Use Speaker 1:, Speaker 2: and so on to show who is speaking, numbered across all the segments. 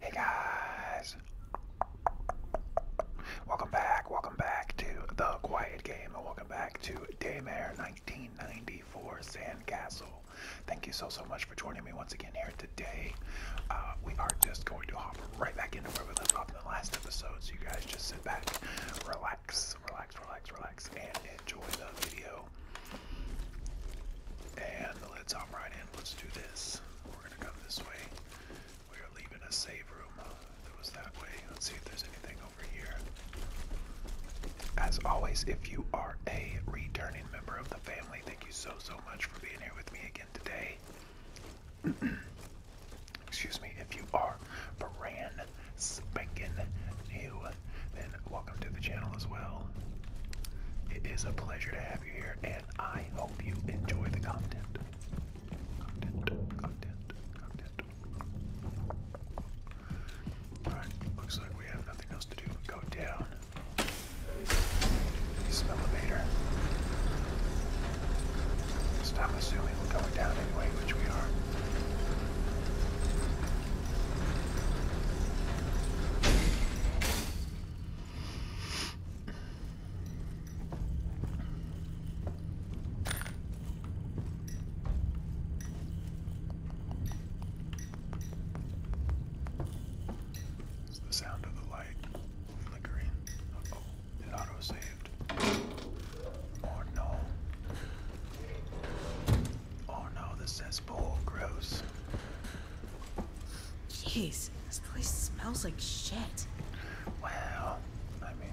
Speaker 1: Hey guys! Welcome back, welcome back to The Quiet Game, and welcome back to Daymare 1994 Sandcastle. Thank you so, so much for joining me once again here today. Uh, we are just going to hop right back into where we left off in the last episode, so you guys just sit back, relax, relax, relax, relax, and enjoy the video. And let's hop right in. Let's do this. We're gonna come this way. We are leaving a save room that was that way. Let's see if there's anything over here. As always, if you are a returning member of the family, thank you so so much for being here with me again today. Excuse me, if you are brand spanking new, then welcome to the channel as well. It is a pleasure to have you here, and I hope you enjoy the content. Alright, looks like we have nothing else to do go down. This elevator. Stop assuming we're going down anyway, which we are.
Speaker 2: It's the sound of the light flickering. oh, it auto saved. Oh no. Oh no, the cesspool, gross. Jeez, this place smells like shit. Well, I mean...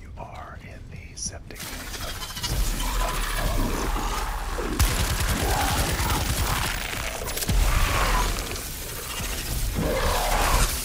Speaker 2: You are in the septic tank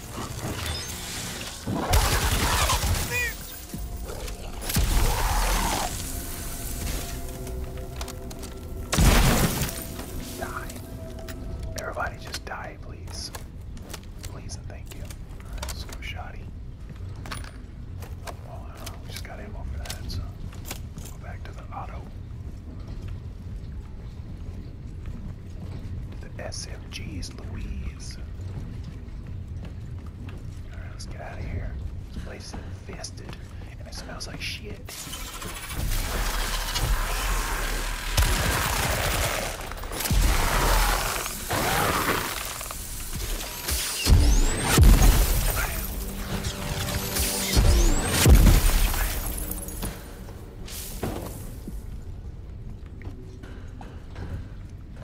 Speaker 2: Die.
Speaker 1: Everybody just die, please. Please and thank you. Alright, let's go shoddy. Well, uh, oh, we just got ammo for that, so go back to the auto. The SMG's Louise. Alright, let's get out of here. This place is infested and it smells like shit.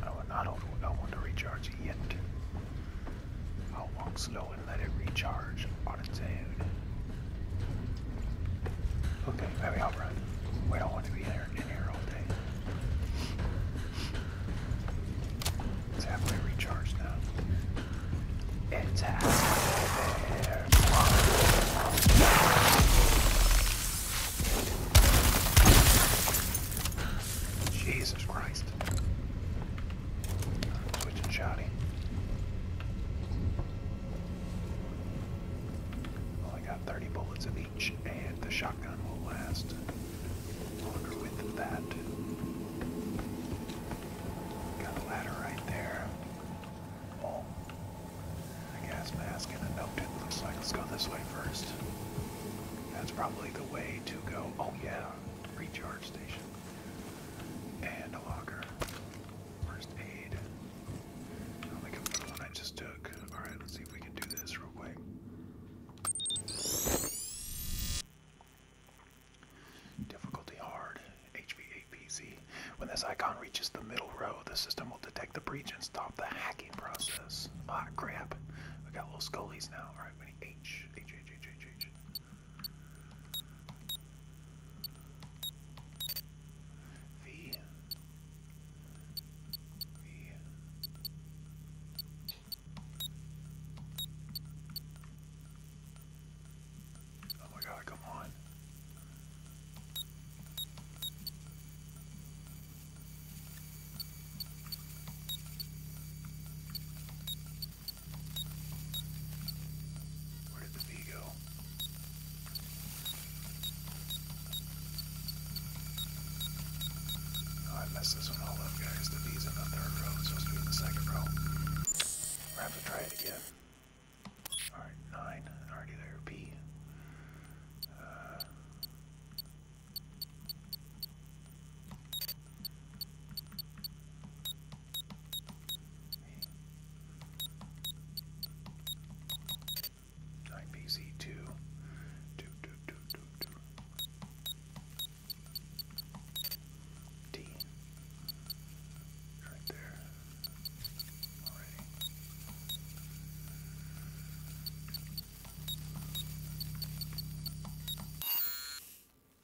Speaker 1: I will not over I want to recharge yet. I'll walk slow and let it recharge on its own. Okay, baby, I'll run. We don't want to be there in here all day. It's halfway recharged now. It's halfway Jesus Christ. Switching shotty. I got 30 bullets of each, and the shotgun will last longer with that. Got a ladder right there. A gas mask and a note, it looks like. Let's go this way first. That's probably the way to go. Oh yeah, recharge station. And a locker. First aid. I'll one I just took. Alright, let's see if we can do this real quick. Difficulty hard. HVAPC when this icon reaches the middle row, the system will detect the breach and stop the hacking process. Ah, crap. We got little scullies now. Alright, H. H, H, H, H, H. V. V. Oh my god, come on. Where did the bee go? Oh, I messed this one all up, guys. The bee's in the third row. supposed to be in the second row. we have to try it again. Alright, nine. Already there. B. Uh, Nine BZ two. Two, two, two, two, two. D. Right there.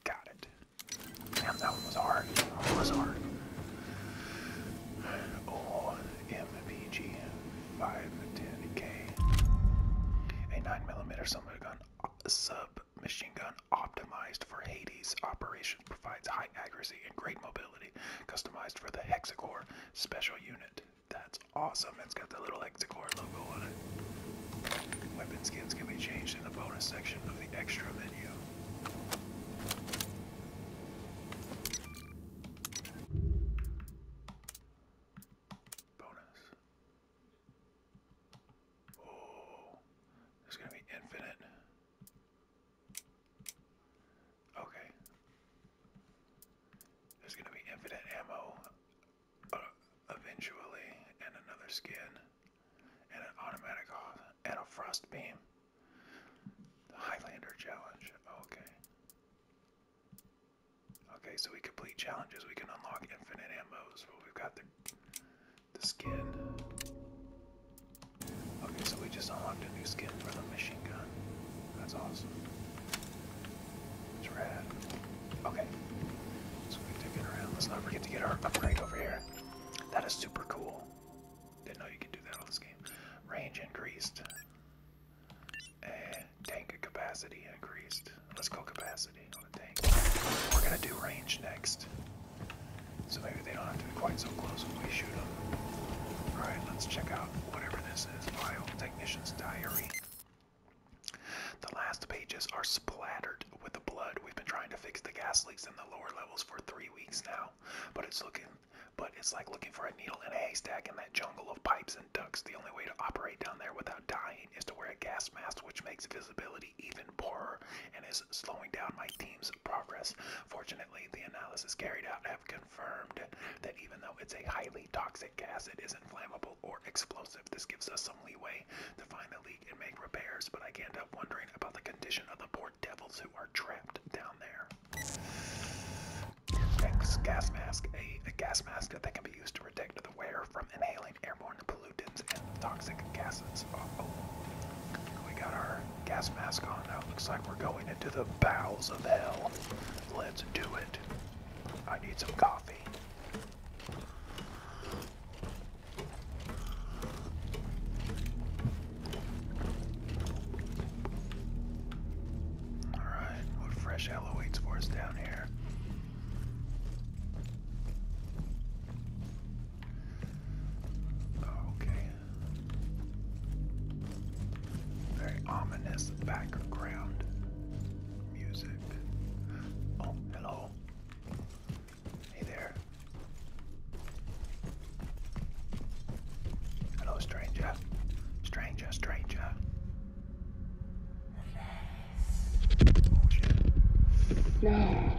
Speaker 1: Got it. Damn, that one was hard. was hard. OMPG 510K. A 9mm submachine gun, optimized for Hades operations provides high accuracy and great mobility customized for the Hexacore special unit. That's awesome. It's got the little Hexacore logo on it. Weapon skins can be changed in the bonus section of the extra menu. Bonus. Oh, there's gonna be infinite. Okay. There's gonna be infinite ammo uh, eventually, and another skin, and an automatic and a frost beam. The Highlander challenge. Okay. Okay, so we complete challenges. We can unlock infinite ammos, but we've got the the skin. Okay, so we just unlocked a new skin for the machine gun. That's awesome. It's red. Okay. So we can take around. Let's not forget to get our upgrade over here. That is super cool. Didn't know you could do that on this game. Range increased. tank capacity increased. Let's go capacity on the tank. We're gonna do range next. So maybe they don't have to be quite so close when we shoot them. Alright, let's check out whatever this this is Biotechnician's Diary. The last pages are splattered with the blood. We've been trying to fix the gas leaks in the lower levels for three weeks now, but it's looking, but it's like looking for a needle in a haystack in that jungle of pipes and ducts. The only way to operate down there without dying is to wear a gas mask, which makes visibility even poorer and is slowing down my team's progress. Fortunately, the analysis carried out have confirmed confirmed that even though it's a highly toxic gas, it isn't flammable or explosive. This gives us some leeway to find the leak and make repairs, but I can't help wondering about the condition of the poor devils who are trapped down there. Next, gas mask. A, a gas mask that can be used to protect the wearer from inhaling airborne pollutants and toxic gases. oh, we got our Gas mask on. Now looks like we're going into the bowels of hell. Let's do it. I need some coffee. Alright, what fresh hell awaits for us down here? Okay, very ominous background music. Oh, hello. Hey there.
Speaker 2: Hello, stranger. Stranger, stranger. No.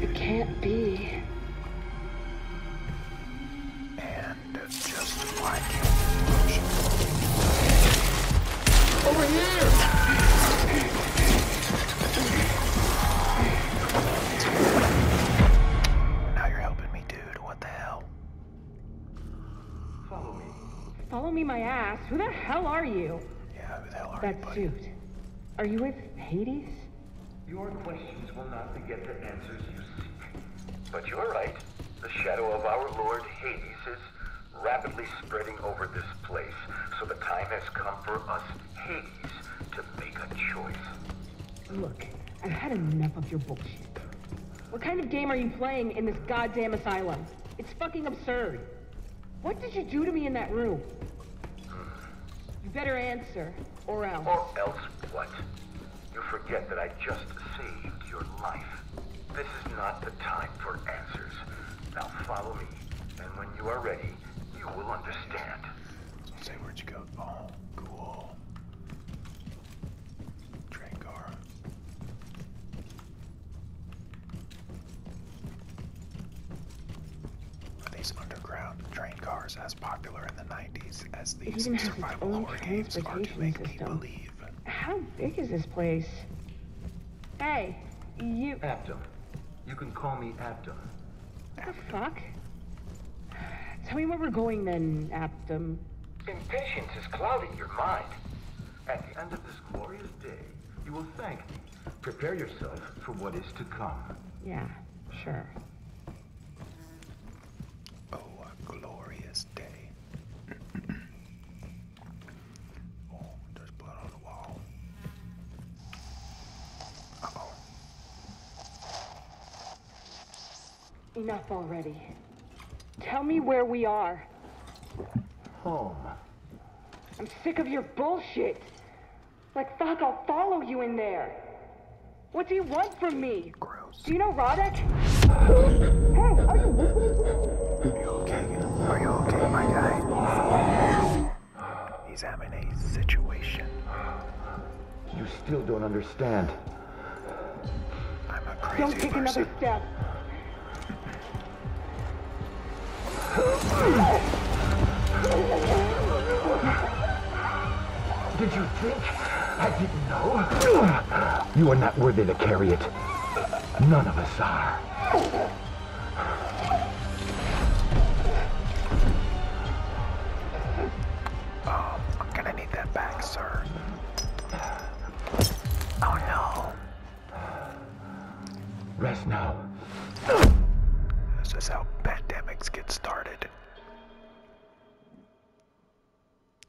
Speaker 1: It can't be. And just like it. Over here!
Speaker 2: Now you're helping me, dude. What the hell? Follow me. Follow me, my ass. Who the hell are you?
Speaker 1: Yeah, who the hell are that you? That suit.
Speaker 2: Are you with Hades?
Speaker 1: Your questions will not beget the
Speaker 2: answers you seek. But you're right. The shadow of our Lord Hades is rapidly spreading over this place. So the time has come for us, Hades, to make a choice. Look, I've had enough of your bullshit. What kind of game are you playing in this goddamn asylum? It's fucking absurd. What did you do to me in that room? You better answer, or else.
Speaker 1: Or else what? You forget that I just saved your life. This is not the time for answers. Now follow me, and when you are ready, you will understand. Say where'd you go? Oh, cool. Train were these underground train cars as popular in the 90s as these survival horror games are to make me believe? How big is this place? Hey, you... Abdom.
Speaker 2: You can call me Abdom. What the fuck? Tell me where we're going then, Abdom. Impatience is clouding your mind. At the end of this
Speaker 1: glorious day, you will thank me Prepare yourself for what is to come. Yeah, sure. Oh, a glorious day. oh,
Speaker 2: there's blood on the wall. Enough already. Tell me where we are. Home. I'm sick of your bullshit. Like, fuck, I'll follow you in there. What do you want from me? Gross. Do you know Roddick? hey, are you okay? Are you
Speaker 1: okay, my guy? He's having a situation.
Speaker 2: You still don't understand.
Speaker 1: Don't take another
Speaker 2: step. Did you think I didn't know?
Speaker 1: You are not worthy to carry it. None of us are. Oh, I'm gonna need that back, sir. Oh no. Rest now. This is how pandemics get started.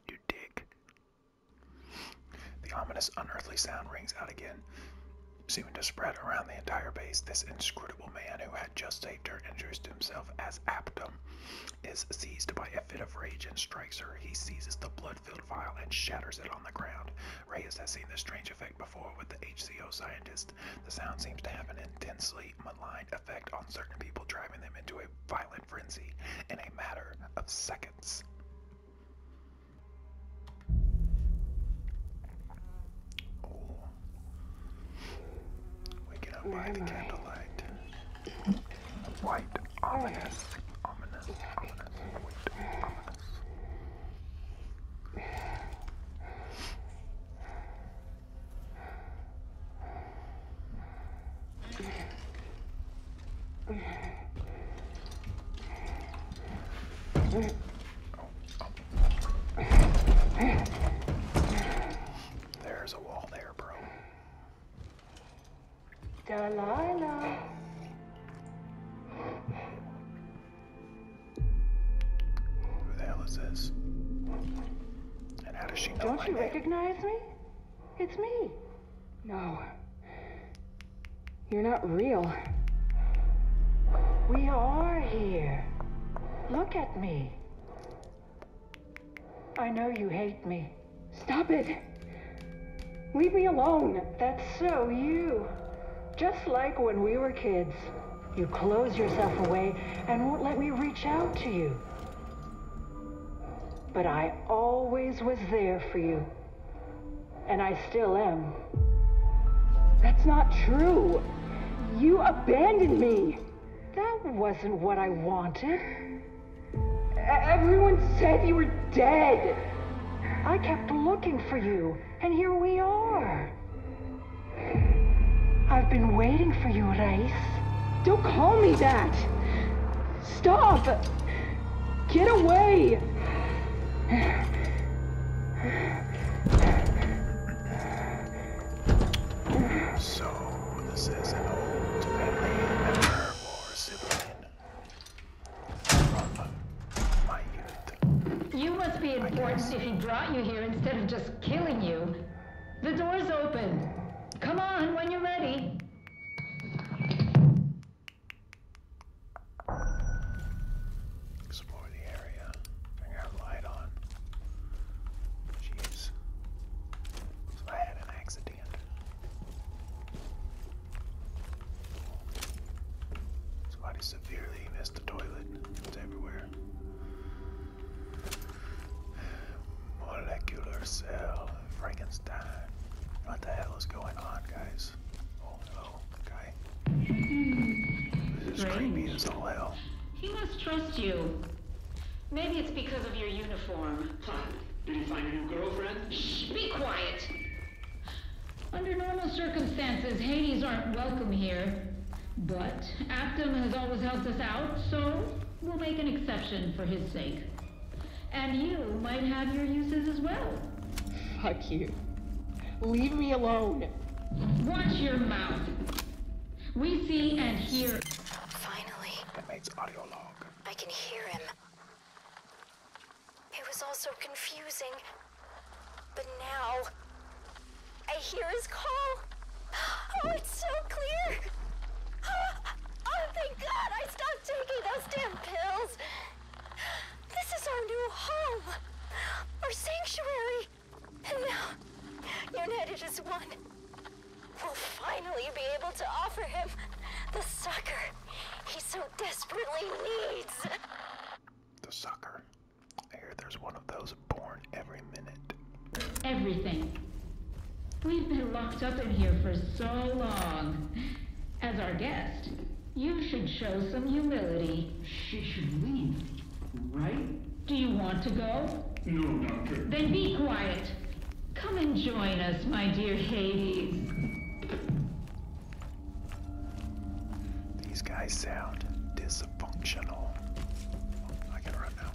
Speaker 1: You dig. The ominous, unearthly sound rings out again, seeming to spread around the entire base. This inscrutable man who had just saved her introduced himself as Aptum is seized by a fit of rage and strikes her. He seizes the blood-filled vial and shatters it on the ground. Reyes has seen this strange effect before with the HCO scientist the sound seems to have an intensely malign effect on certain people, driving them into a violent frenzy in a matter of seconds. Oh. up by the candlelight. White, ominous, ominous, ominous, white, ominous. There's a wall there, bro.
Speaker 2: Delilah.
Speaker 1: Who the hell is this? And how does she know Don't you
Speaker 2: recognize me? It's me. No. You're not real. We are here. Look at me. I know you hate me. Stop it. Leave me alone. That's so you. Just like when we were kids. You close yourself away and won't let me reach out to you. But I always was there for you. And I still am. That's not true. You abandoned me. That wasn't what I wanted. Everyone said you were dead. I kept looking for you and here we are. I've been waiting for you, Rice. Don't call me that! Stop! Get away!
Speaker 1: So, this is an old
Speaker 2: family member my youth. You must be important if he brought you here instead of just killing you. The door's open. Come on when you're ready. Explore the area. Figure out light on.
Speaker 1: Jeez. So I had an accident. Somebody severely missed the toilet. It's everywhere. Molecular cell, Frankenstein. What the hell is going on, guys? Oh, this is Strange. creepy as all hell.
Speaker 2: He must trust you. Maybe it's because of your uniform. Huh. Did he find a new girlfriend? Shh, be quiet. Under normal circumstances, Hades aren't welcome here. But Actum has always helped us out, so we'll make an exception for his sake. And you might have your uses as well. Fuck you. Leave me alone. Watch your mouth. We see and
Speaker 1: hear. Finally. That makes audio long. I can hear him.
Speaker 2: It was all so confusing. But now, I hear his call. Oh, it's so clear. Oh, thank God I stopped taking those damn pills. This is our new home, our sanctuary. And now,
Speaker 1: united as one, we'll finally be able to offer him the sucker he so desperately needs. The sucker. I hear there's one of those born every minute.
Speaker 2: Everything. We've been locked up in here for so long. As our guest, you should show some humility. She should leave, right? Do you want to go? No, Doctor. Then be quiet. Come and join us, my dear Hades.
Speaker 1: These guys sound dis functional. I can run now.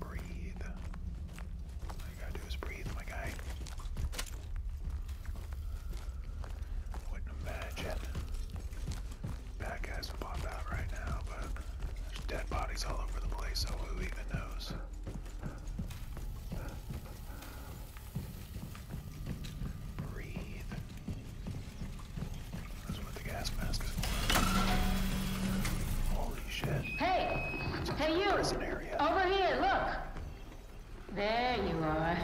Speaker 1: Breathe. All you gotta do is breathe, my guy. Wouldn't imagine bad guys would pop out right now, but there's dead bodies all over the place, so who even knows?
Speaker 2: Hey! Hey, you!
Speaker 1: Over
Speaker 2: here, look! There you are.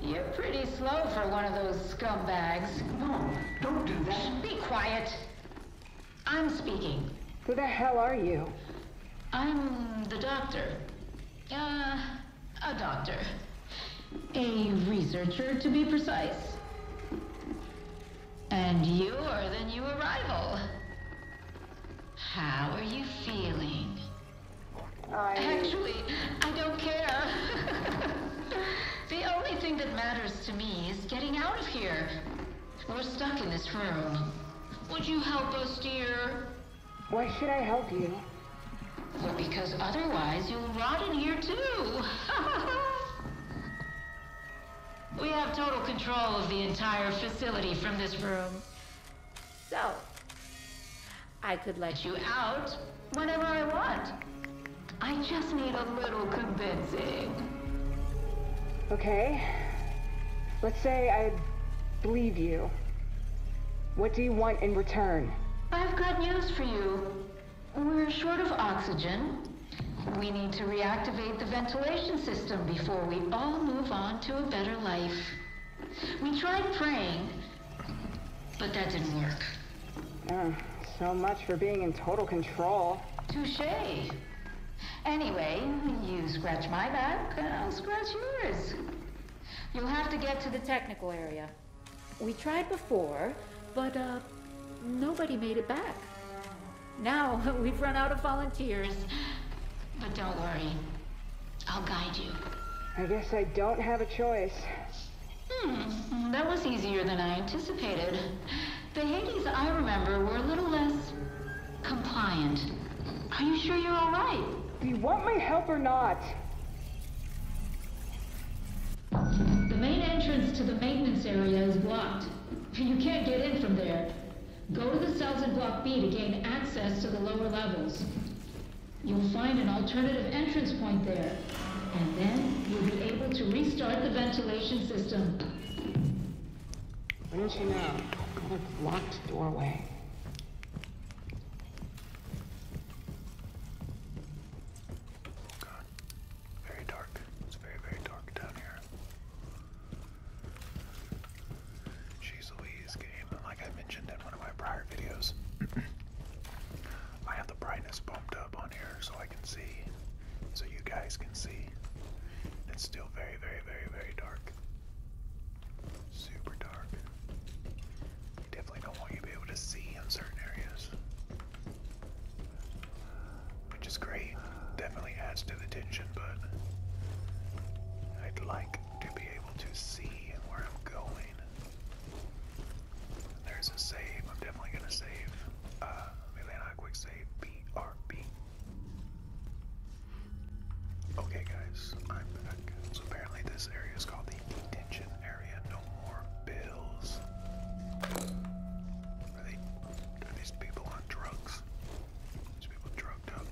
Speaker 2: You're pretty slow for one of those scumbags. No, don't do that. Be quiet. I'm speaking. Who the hell are you? I'm the doctor. Uh, a doctor. A researcher, to be precise. And you are the new arrival. How are you feeling? Actually, I don't care. the only thing that matters to me is getting out of here. We're stuck in this room. Would you help us, dear? Why should I help you? Well, because otherwise you'll rot in here too. we have total control of the entire facility from this room. So, I could let you out whenever I want. I just need a little convincing. Okay. Let's say I believe you. What do you want in return? I've got news for you. We're short of oxygen. We need to reactivate the ventilation system before we all move on to a better life. We tried praying, but that didn't work. Ah, so much for being in total control. Touche. Anyway, you scratch my back, I'll scratch yours. You'll have to get to the technical area. We tried before, but uh, nobody made it back. Now we've run out of volunteers. But don't worry, I'll guide you. I guess I don't have a choice. Hmm, that was easier than I anticipated. The Hades I remember were a little less compliant. Are you sure you're all right? Do you want my help or not? The main entrance to the maintenance area is blocked. You can't get in from there. Go to the cells in Block B to gain access to the lower levels. You'll find an alternative entrance point there, and then you'll be able to restart the ventilation system. Wouldn't you know? Locked doorway. Oh god. Very dark. It's very, very dark down here. Jeez Louise game. Like I mentioned in one of my prior
Speaker 1: videos, I have the brightness bumped up on here so I can see, so you guys can see. It's still very, very, very, very dark. Super dark definitely don't want you to be able to see in certain areas. Which is great. Definitely adds to the tension, but I'd like to be able to see where I'm going. There's a save. I'm definitely gonna save. Uh, maybe quick save. BRB. Okay, guys, I'm back. So apparently this area is called the detention area. No more bills. Are, these people on drugs? These people drugged up.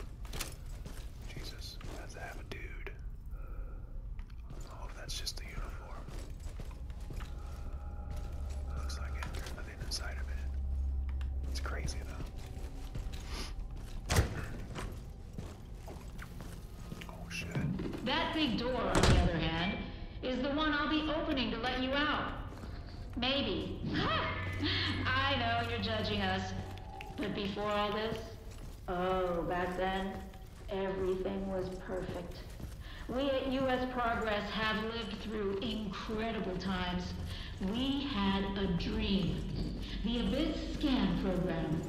Speaker 1: Jesus, that's a have a dude. I oh, hope that's just the uniform. Looks like it. There's nothing inside of it. It's crazy though.
Speaker 2: Oh, that big door, on the other hand, is the one I'll be opening to let you out. Maybe. I know you're judging us. But before all this, oh, back then, everything was perfect. We at U.S. Progress have lived through incredible times. We had a dream. The Abyss Scan Program.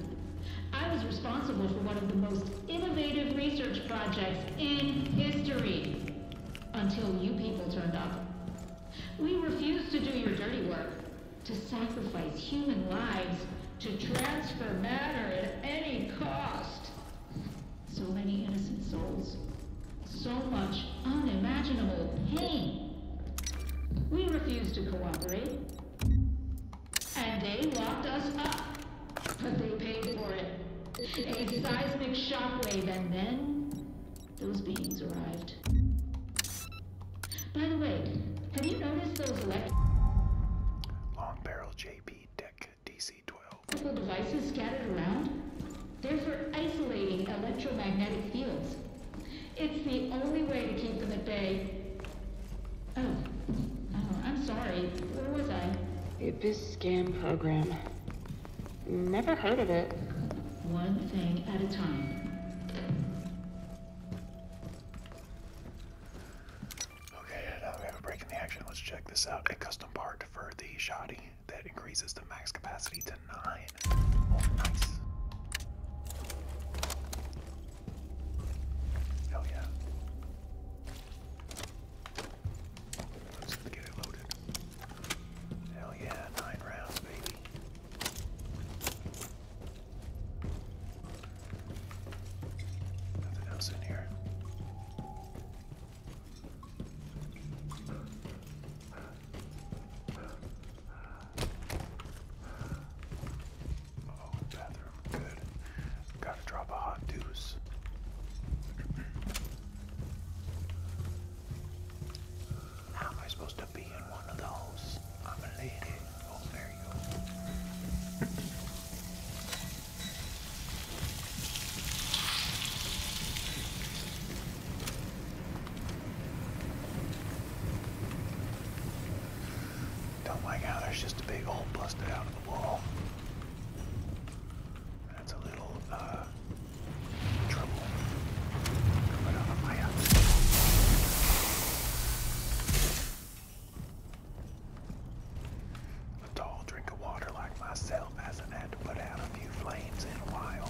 Speaker 2: I was responsible for one of the most innovative research projects in history. Until you people turned up. We refused to do your dirty work, to sacrifice human lives, to transfer matter at any cost. So many innocent souls. So much unimaginable pain. We refused to cooperate. And they locked us up. But they paid for it. A seismic shockwave, and then those beings arrived. By the way, have you noticed those electric...
Speaker 1: Long barrel JP deck
Speaker 2: DC-12. ...devices scattered around? They're for isolating electromagnetic fields. It's the only way to keep them at bay. Oh. Oh, I'm sorry. Where was I? The Abyss Scan Program. Never heard of it. One thing at a time. Okay, uh, now we have a the action. Let's check this out. A custom part for the
Speaker 1: shoddy that increases the max capacity to 9. nice. Hell yeah. Let's get it loaded. Hell yeah, nine rounds, baby. Nothing else in here. Uh oh, bathroom. Good. Gotta drop a hot deuce. How am I supposed to be in one of those? I'm a lady. Oh, there you go. Don't like out! there's just a big old busted out of the wall. That's a little uh, trouble. Coming on fire. A tall drink of water like myself hasn't had to put out a few flames in a while.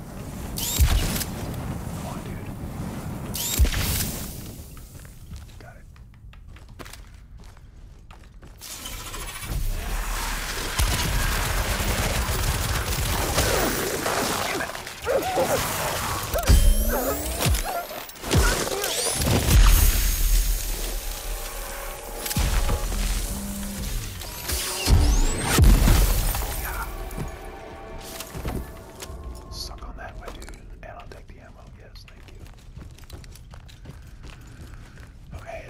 Speaker 1: Come on, dude. Got it. Damn it. Yeah. Suck on that, my dude. And I'll take the ammo. Yes, thank you. Okay.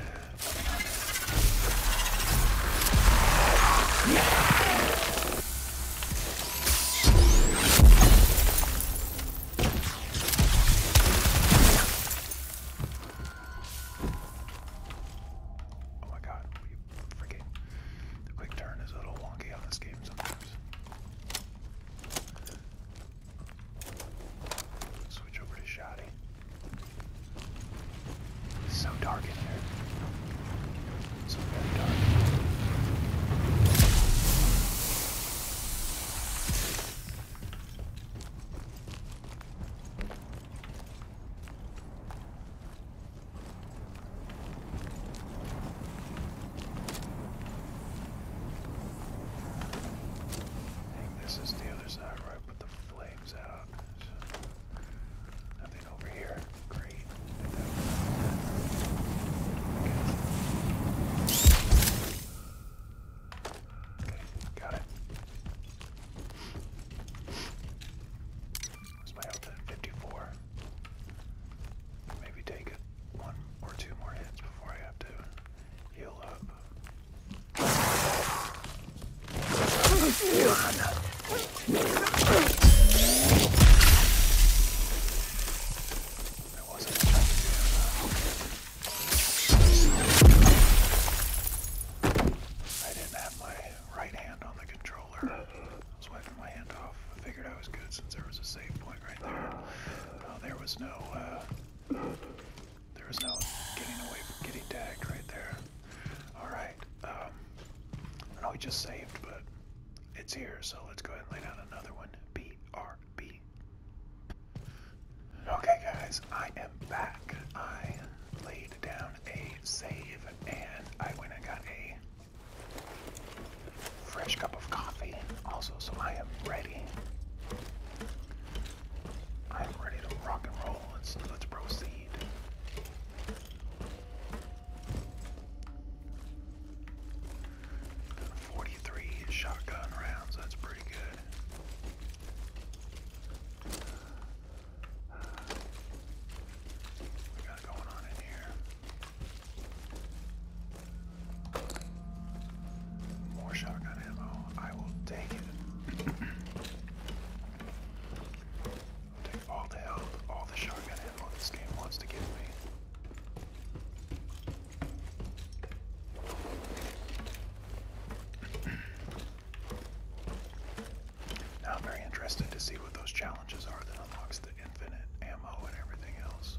Speaker 1: Oh my god, we freaking the quick turn is a little wonky on this game sometimes. switch over to shoddy. It's so dark in here. It's very dark think this is the other side where I put the flames out. So nothing over here. Great. Okay, got it. Is my health at 54? Maybe take one or two more hits before I have to heal up. I wasn't I didn't have my right hand on the controller. I was wiping my hand off. I figured I was good since there was a safe point right there. Uh, there was no, uh, there was no getting away from getting tagged right there. Alright, um, I know we just saved, but it's here, so let's go ahead and lay down another one. BRB. Okay, guys, I am back. I laid down a save and I went and got a Fresh cup of coffee, also, so I am ready. I am ready to rock and roll. Let's proceed. 43 shotgun rounds. That's pretty good. We got going on in here. More shotgun ammo. I will take it. take all the help, all the shotgun ammo this game wants to give me. now I'm very interested to see what those challenges are that unlocks the infinite ammo and everything else.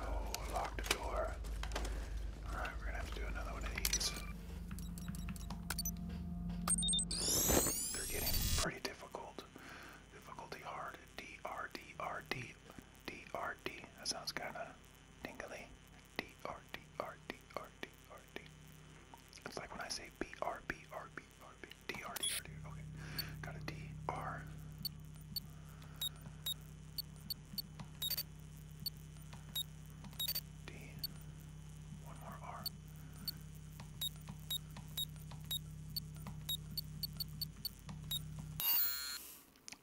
Speaker 1: Oh, lock the door. Alright, we're gonna have to do another one of these. They're getting pretty difficult. Difficulty hard. D R D R D D R D. That sounds kinda dingly. D R D R D R D R D. It's like when I say B R B R B or okay. Got a D, R. D. One more R.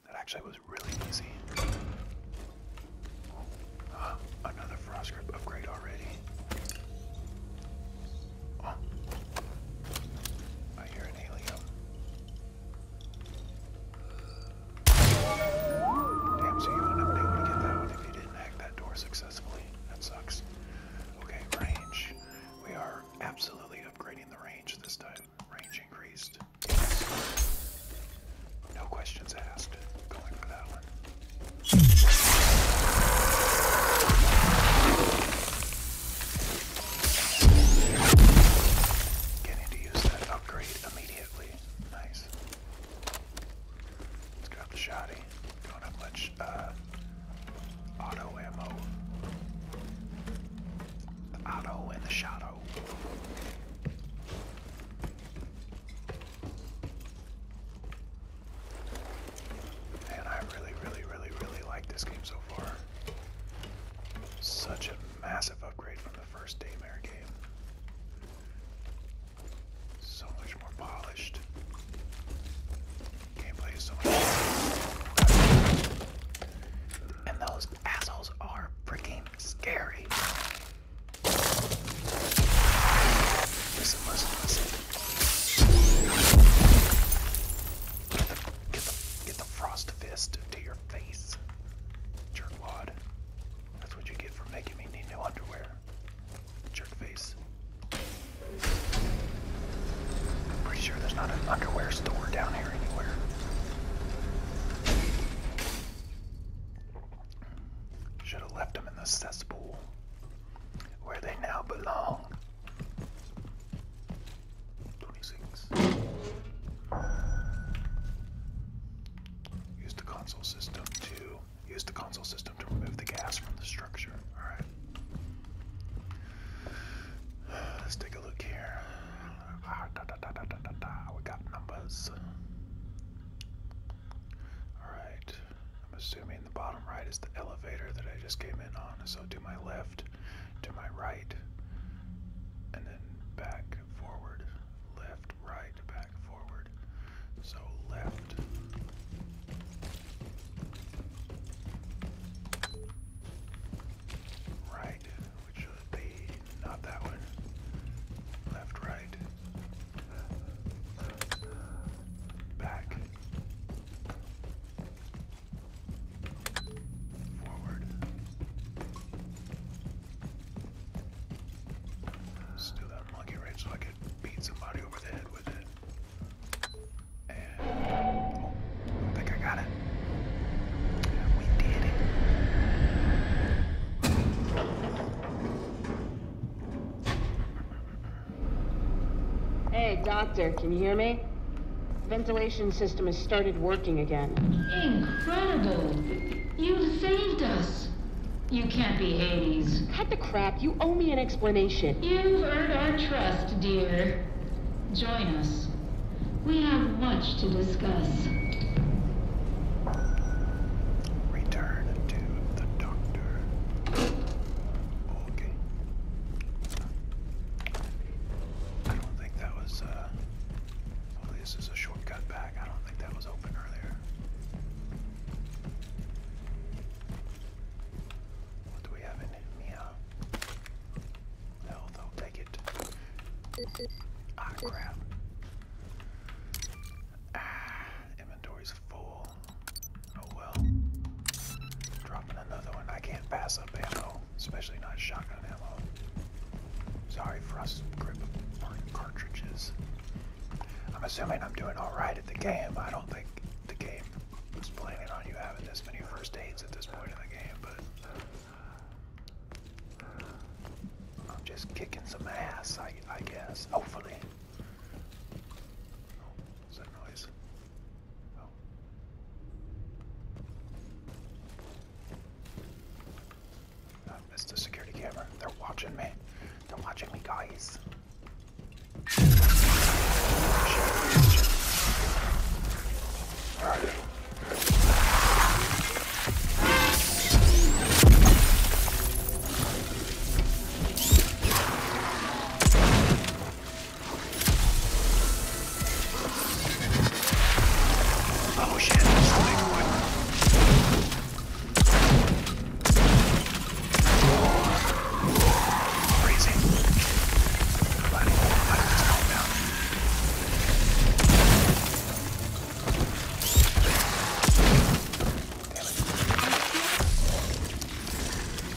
Speaker 1: That actually was really easy. another frost grip upgrade already. Oh. I hear an alien. Damn, so you wouldn't have been able to get that one if you didn't hack that door successfully. That sucks. Okay, range. We are absolutely upgrading the range this time. Range increased. Yes. No questions asked. Going for that one. Getting to use that upgrade immediately. Nice. Let's grab the shotty. Don't have much uh, auto ammo. The auto and the shadow. And I really, really, really, really like this game so far. Such a massive upgrade from the first Daymare game. So much more polished. Gameplay is so much more. And those assholes are freaking scary. Listen, listen, listen. Get the, get the, get frost fist to your face, jerkwad. That's what you get for making me need new underwear, jerk I'm pretty sure there's not an underwear store down here anywhere. Should have left him in the cesspool where they now belong. Use the console system to use the console system to remove the gas from the structure. All right. Let's take a look here. Ah, we got numbers. All right. I'm assuming the bottom right is the elevator that I just came in on. So to my left, to my right, and then back, forward, left, right, back, forward. So left. Right, which should be not that one. Left, right. Back. Forward. Still that monkey wrench so I could beat somebody over the head with it. And oh, I think I got it. We
Speaker 2: did it. Hey, doctor, can you hear me? The ventilation system has started working again. Incredible! You have saved us! You can't be Hades. Cut the crap. You owe me an explanation. You've earned our trust, dear. Join us. We have much to discuss. Return to the doctor.
Speaker 1: Okay. I don't think that was, uh, this is a shortcut back. I don't think that was open earlier. What do we have in Mia? Health, take it. Ah, crap. Ah, inventory's full. Oh well. Dropping another one. I can't pass up ammo, especially not shotgun ammo. Sorry, Frost Grip Burn cartridges. I'm assuming I'm doing alright at the game. I don't think the game was planning on you having this many first aids at this point in the game, but I'm just kicking some ass, I, guess. Hopefully. what's oh, that noise? Oh. I missed the security camera. They're watching me. They're watching me, guys. Alright. Oh shit, that's a big one. Crazy. But I just calm down. Damn it.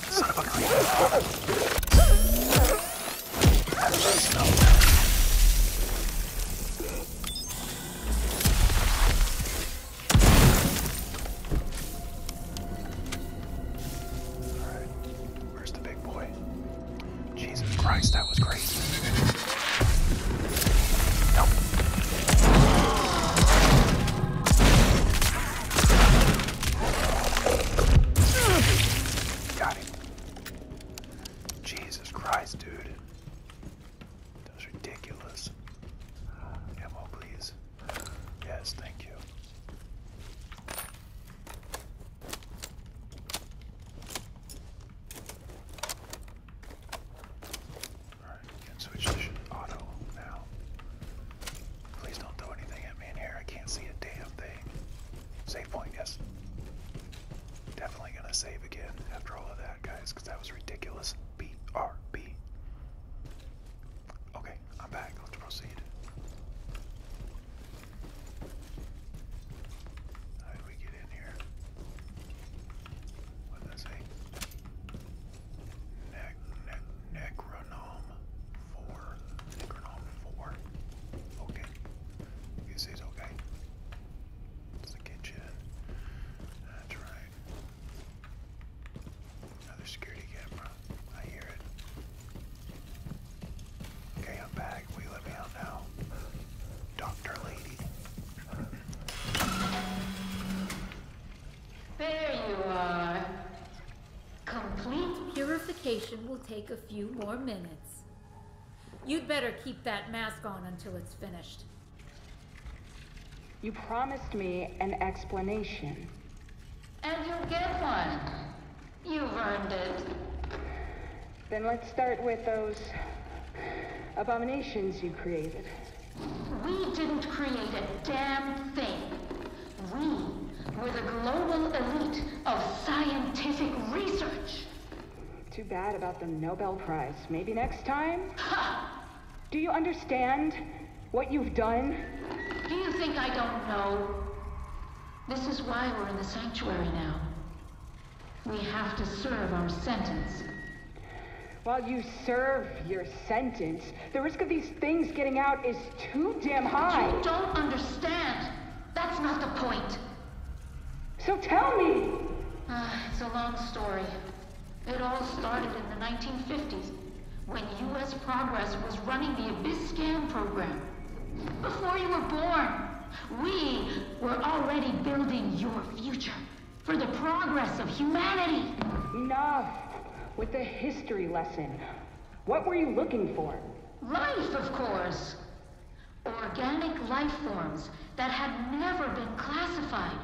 Speaker 1: Son of a creep. Smell Alright, where's the big boy? Jesus Christ, that was crazy. Nope. Got him. Jesus Christ, dude. that's ridiculous. Uh, ammo, please. Yes, thank you. Alright, switch to auto now. Please don't throw anything at me in here. I can't see a damn thing. Save point, yes. Definitely gonna save again after all of that, guys, because that was ridiculous. BRB. Okay, I'm back. Let's proceed. How did we get in here? What does it say? Nec nec necronome four. Necronome four. Okay. This is okay. It's the kitchen. That's right. Another security camera. I hear it. Okay, I'm
Speaker 2: back. Will let me out now? Doctor Lady. There you are. Complete purification will take a few more minutes. You'd better keep that mask on until it's finished. You promised me an explanation. And you'll get one. You've earned it. Then let's start with those abominations you created. We didn't create a damn thing. We were the global elite of scientific research. Too bad about the Nobel Prize. Maybe next time? Do you understand what you've done? Do you think I don't know? This is why we're in the sanctuary now. We have to serve our sentence. While you serve your sentence, the risk of these things getting out is too damn high. You don't understand. That's not the point. So tell me. Uh, it's a long story. It all started in the 1950s when U.S. Progress was running the Abyss Scan program. Before you were born, we were already building your future for the progress of humanity. Enough with the history lesson. What were you looking for? Life, of course. Organic life forms that had never been classified.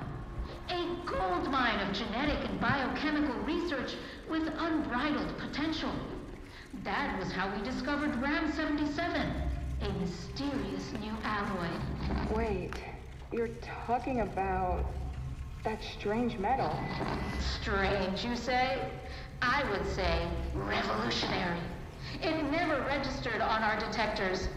Speaker 2: A gold mine of genetic and biochemical research with unbridled potential. That was how we discovered RAM 77, a mysterious new alloy. Wait. You're talking about that strange metal. Strange, you say? I would say revolutionary. It never registered on our detectors.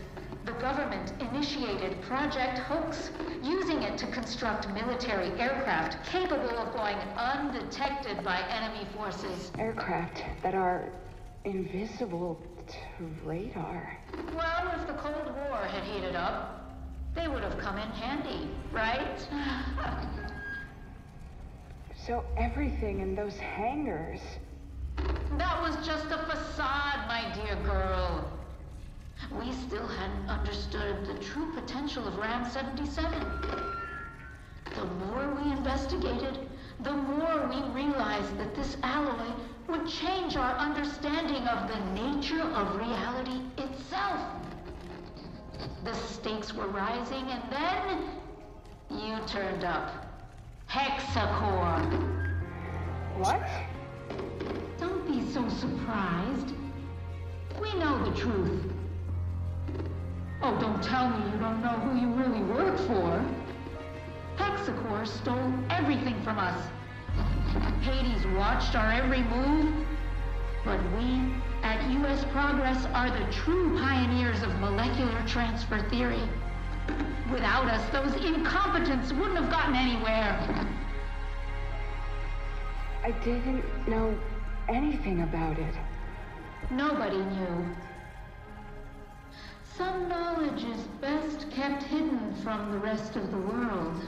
Speaker 2: The government initiated Project Hoax, using it to construct military aircraft capable of going undetected by enemy forces. Aircraft that are invisible to radar. Well, if the Cold War had heated up, they would have come in handy, right? so everything in those hangars... That was just a facade, my dear girl. We still hadn't understood the true potential of RAM 77. The more we investigated, the more we realized that this alloy would change our understanding of the nature of reality itself. The stakes were rising, and then you turned up. Hexacore. What? Don't be so surprised. We know the truth. Oh, don't tell me you don't know who you really work for. Hexacore stole everything from us. Hades watched our every move, but we at U.S. Progress are the true pioneers of molecular transfer theory. Without us, those incompetents wouldn't have gotten anywhere. I didn't know anything about it. Nobody knew. Some knowledge is best kept hidden from the rest of the world.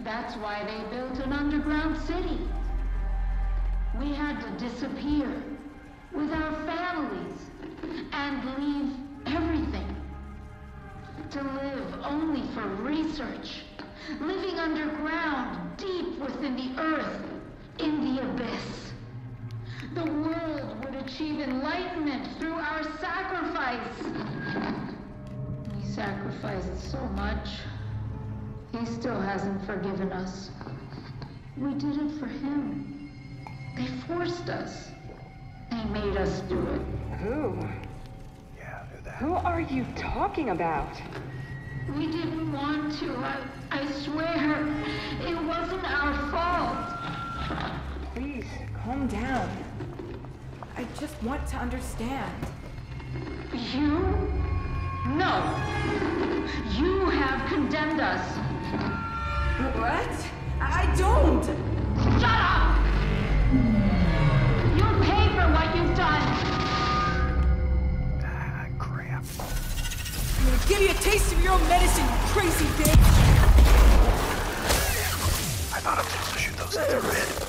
Speaker 2: That's why they built an underground city. We had to disappear with our families and leave everything to live only for research, living underground, deep within the earth, in the abyss. The world would achieve enlightenment through our sacrifice. He sacrificed so much. He still hasn't forgiven us. We did it for him. They forced us. They made us do it. Who? Yeah, who that? Who are you talking about? We didn't want to. I, I swear. It wasn't our fault. Please, calm down. I just want to understand. You? No. You have condemned us. What? I don't! Shut up! you pay for what you've done! Ah, crap. I'm
Speaker 1: gonna give you a taste of your own medicine, you crazy bitch! I thought I was supposed to shoot those at their red.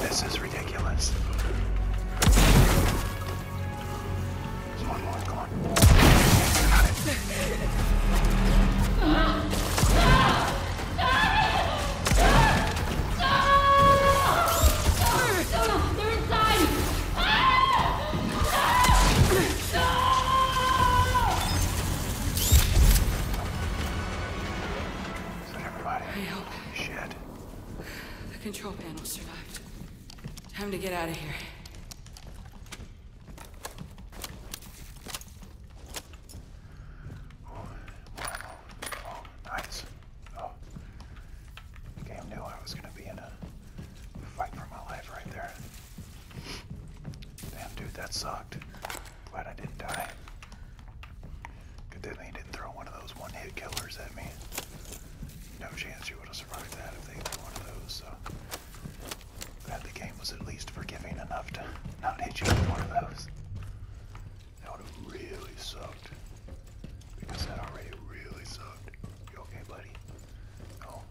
Speaker 1: This is ridiculous. There's one more, come on. Got it.
Speaker 2: No, no, no, they're inside. Shit! The control panel survived. Time to get out of here.
Speaker 1: Oh, oh. Game knew I was gonna be in a fight for my life right there. Damn, dude, that sucked. Glad I didn't die. Good thing they didn't throw one of those one-hit killers at me. No chance you would have survived that if they threw one of those. glad the game was at least forgiving enough to not hit you with one of those. That would have really sucked. Because that already really sucked. You okay, buddy? Oh,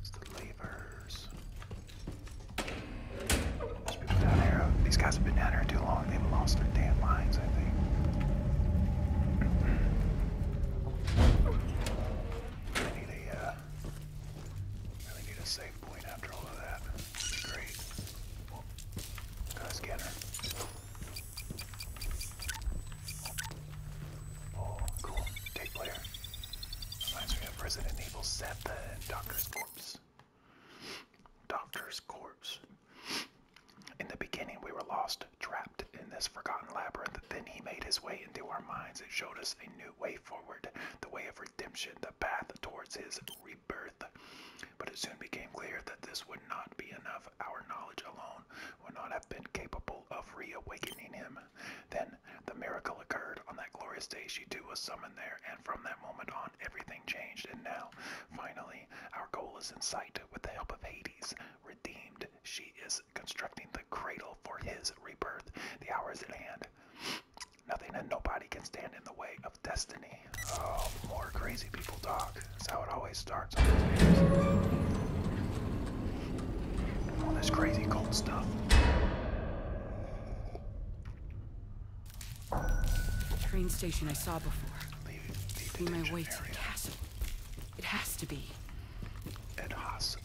Speaker 1: it's the levers. There's people down here. These guys have been down here too long. They've lost their damn minds, I think. I need a, uh, really need a safe point after all of that. Great. Got a scanner. Oh, cool. Take player. Reminds me of Resident Evil 7, Doctor's Corpse. Doctor's Corpse. In the beginning, we were lost, trapped in this forgotten labyrinth. Then he made his way into our minds and showed us a new way forward, the way of redemption, the path towards his rebirth. But it soon became clear that this would not be enough our knowledge alone would not have been capable of reawakening him. Then the miracle occurred. On that glorious day, she too was summoned there, and from that moment on, everything changed. And now, finally, our goal is in sight. With the help of Hades, redeemed, she is constructing the cradle for his rebirth. The hour is at hand. Nothing and nobody can stand in the way of destiny. Oh, more crazy people talk. That's how it always starts on these videos. All this crazy cold
Speaker 2: stuff. train station I saw before. Be my way to the castle. It has to be.
Speaker 1: It has to be.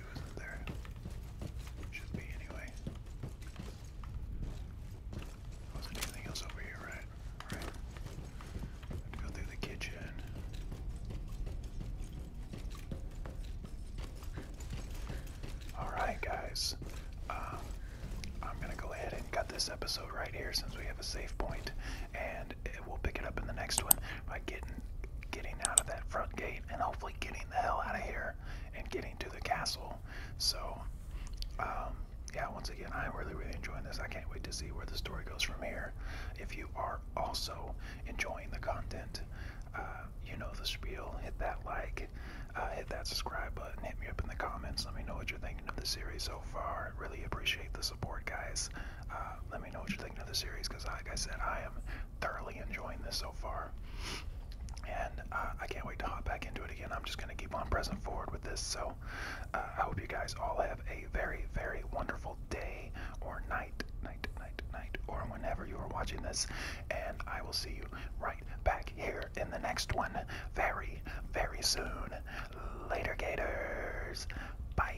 Speaker 1: there? Should be anyway. Wasn't anything else over here, right? Alright. go through the kitchen. Alright guys. Um, I'm gonna go ahead and cut this episode right here since we have a safe point, and we'll pick it up in the next one by getting getting out of that front gate and hopefully getting the hell out of here and getting to the castle. So, um, yeah, once again, I'm really, really enjoying this. I can't wait to see where the story goes from here. If you are also enjoying the content, uh, you know the spiel. Hit that like, uh, hit that subscribe button, hit me up in the comments. Let me know what you're thinking of the series so far. Really appreciate the support, guys. Uh, let me know what you're thinking of the series because, like I said, I am thoroughly enjoying this so far. And uh, I can't wait to hop back into it again. I'm just going to keep on pressing forward with this. So uh, I hope you guys all have a very, very wonderful day or night, night, night, night, or whenever you are watching this. And I will see you right back here in the next one very, very soon. Later, Gators. bye.